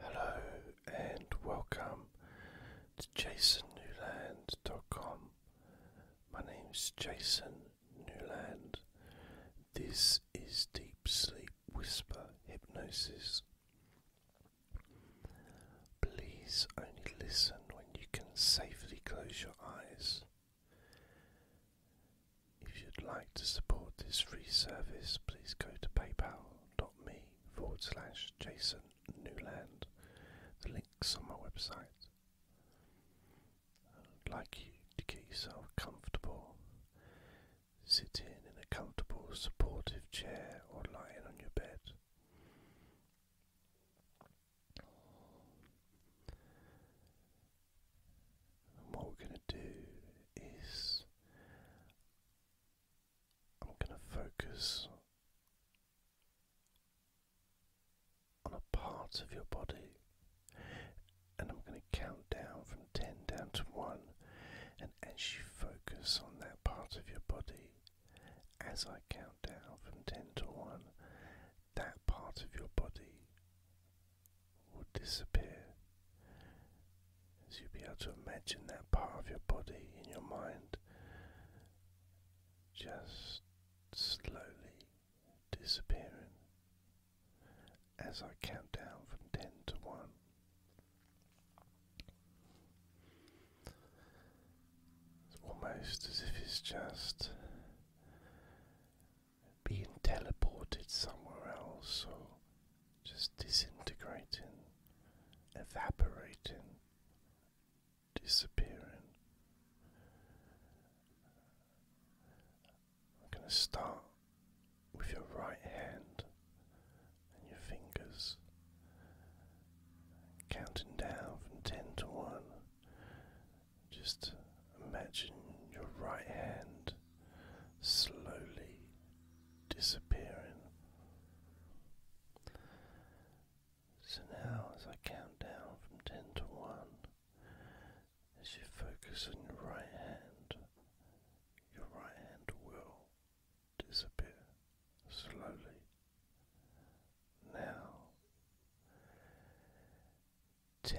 Hello and welcome to jasonnewland.com. My name is Jason Newland. This is Deep Sleep Whisper Hypnosis. Please only listen when you can safely close your eyes. If you'd like to support this free service, please go to PayPal paypal.me forward slash Jason Newland. The link's on my website. I'd like you to get yourself comfortable. sitting in in a comfortable, supportive chair or lying on your bed. And what we're going to do is I'm going to focus on a part of your body and I'm going to count down from 10 down to 1 and as you focus on that part of your body as I count down from 10 to 1 that part of your body will disappear as you'll be able to imagine that part of your body in your mind just slowly disappearing as I count down from 10 to 1. It's almost as if it's just being teleported somewhere else or just disintegrating, evaporating, disappearing. I'm going to start with your right hand and your fingers, counting down from 10 to 1. Just imagine your right hand slowly disappearing. So now, as I count down from 10 to 1, as you focus on your right hand, your right hand will disappear slowly. Now, 10,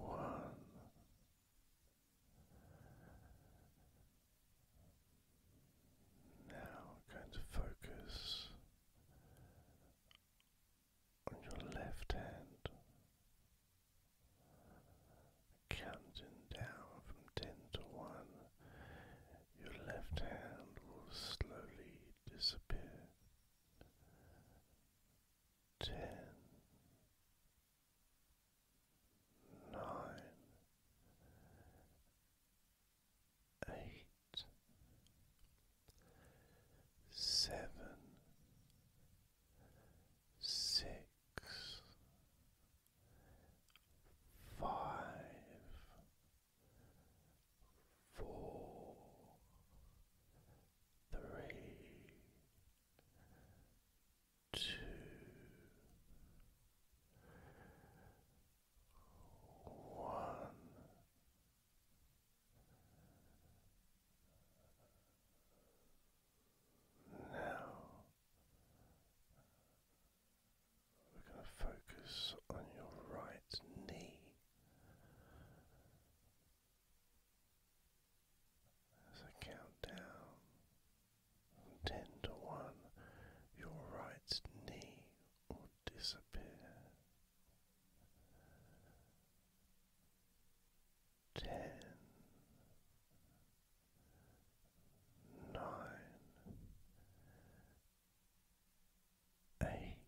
one. Now going to focus on your left hand, counting down from ten to one. Your left hand will slowly disappear. Ten, nine, eight, seven, six, five, four, three, two, one. Now we're going to focus on your right knee. As I count down from ten to one, your right knee will disappear. Ten, nine, eight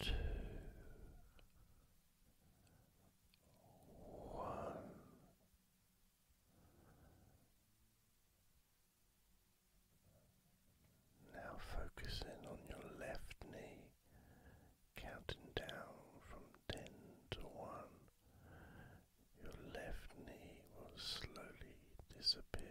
two, one. Now focus in on your left knee, counting down from ten to one. Your left knee will slowly disappear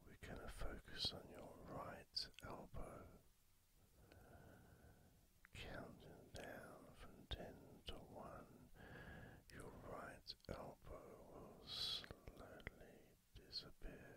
we're going to focus on your right elbow, counting down from ten to one. Your right elbow will slowly disappear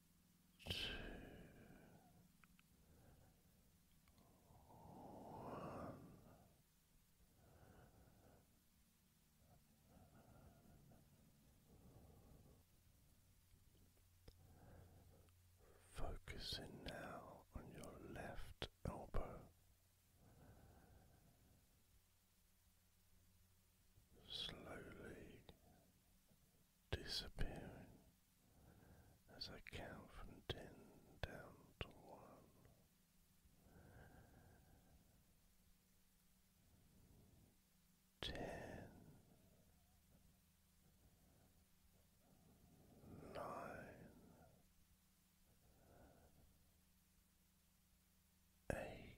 two, one. Focusing now on your left elbow, slowly disappearing as I count from ten down to one. Ten, nine, eight,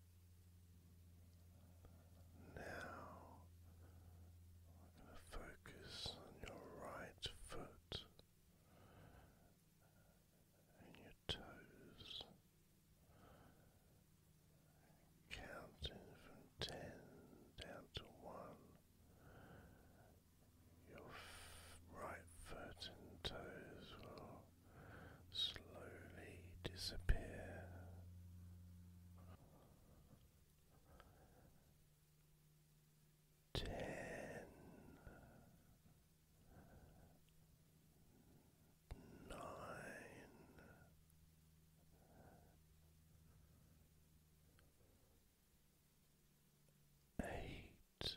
Now we focus on your right foot and your toes, counting from ten down to one. Your right foot and toes will slowly disappear. Ten. Eight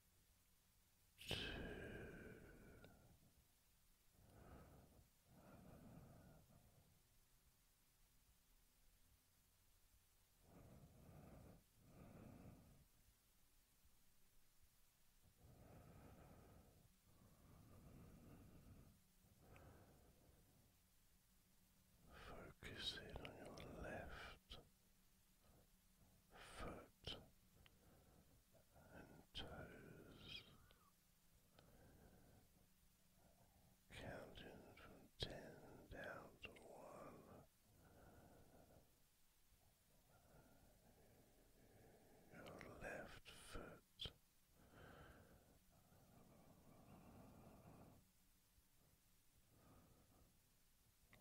two, Focus in on your left foot and toes, counting from ten down to one. Your left foot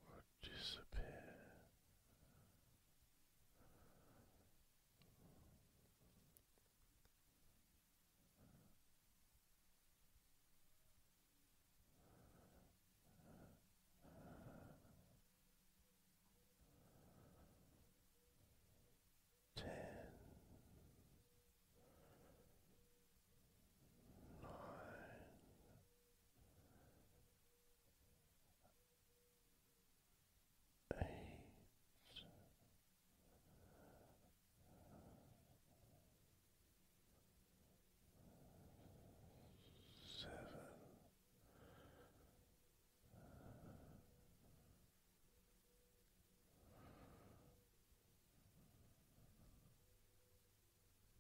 will disappear. Ten nine, eight. Seven,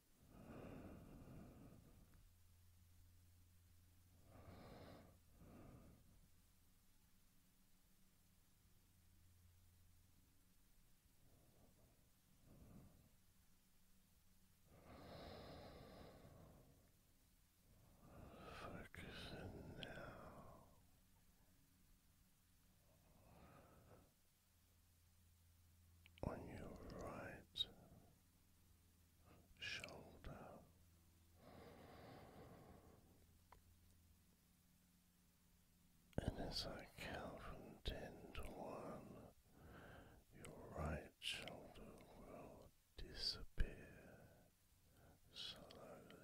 Focus in now on your right shoulder. And as I count from ten to one, your right shoulder will disappear slowly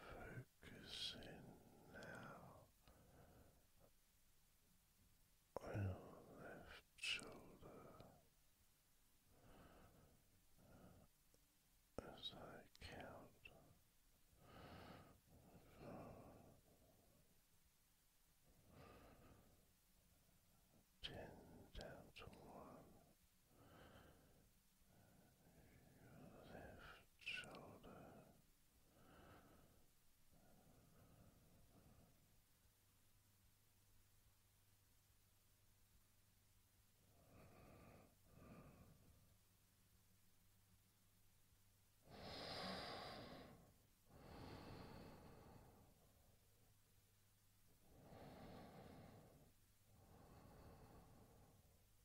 Focusing now on your left shoulder as I count ten down to one your left shoulder. Your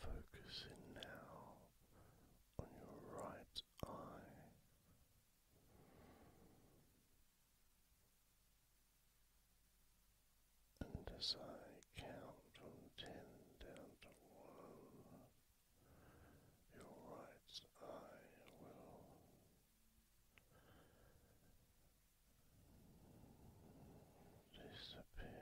Focusing now on your right eye. And as I count from ten down to one, your right eye will disappear.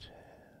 Ten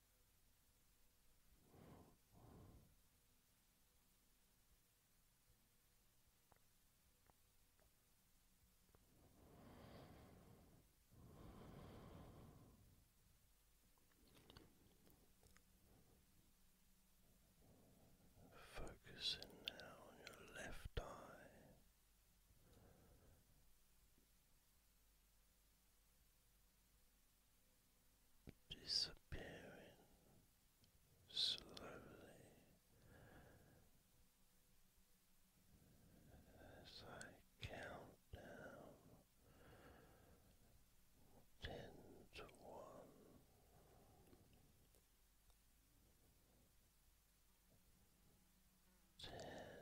Focusing now on your left eye disappearing slowly as I count down ten to one. Ten,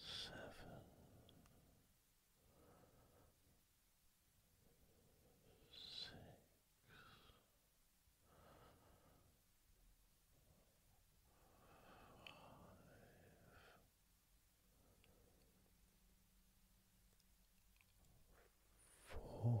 seven, six, five, four.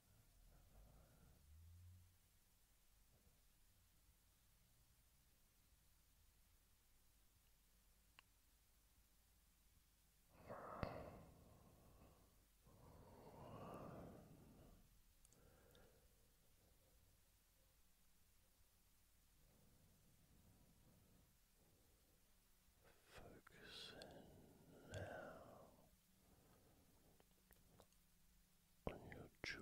Focusing now on your jaw.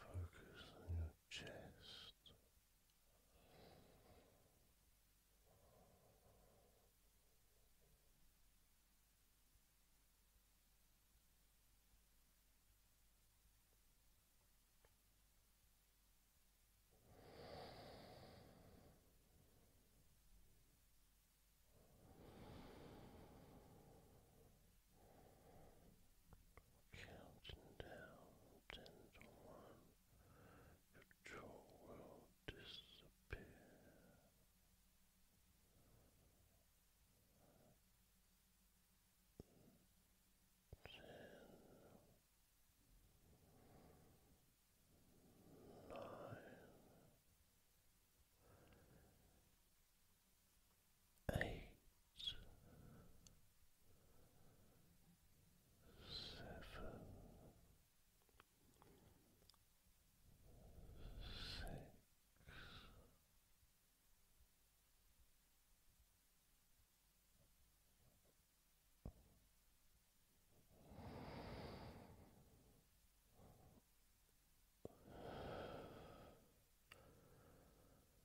Focus on your chest. Counting down gentle one, your jaw will disappear. Ten, nine, eight seven, six. Five,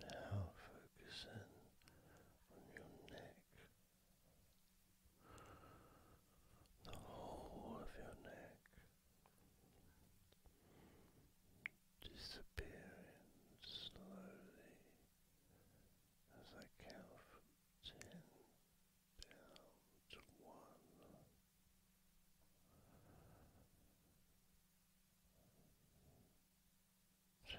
Now focusing on your neck, the whole of your neck disappearing slowly as I count from ten down to one. Ten. Eight.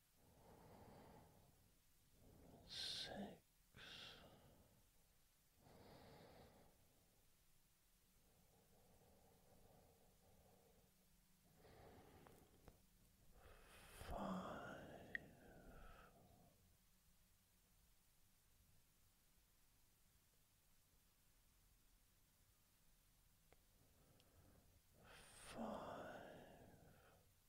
six. Five, five,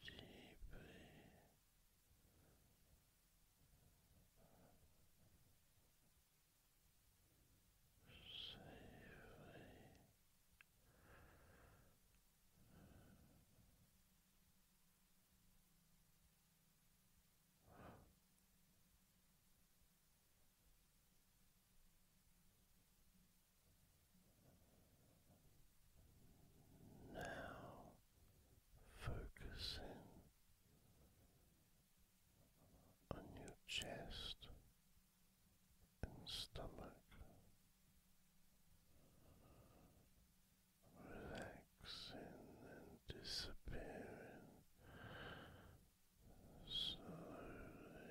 deeply safely Relax. Now focusing on your chest and stomach. Relaxing and disappearing slowly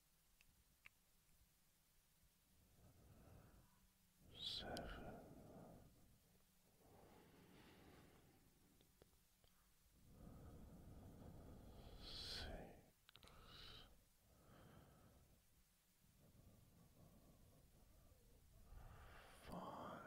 seven, six. Five,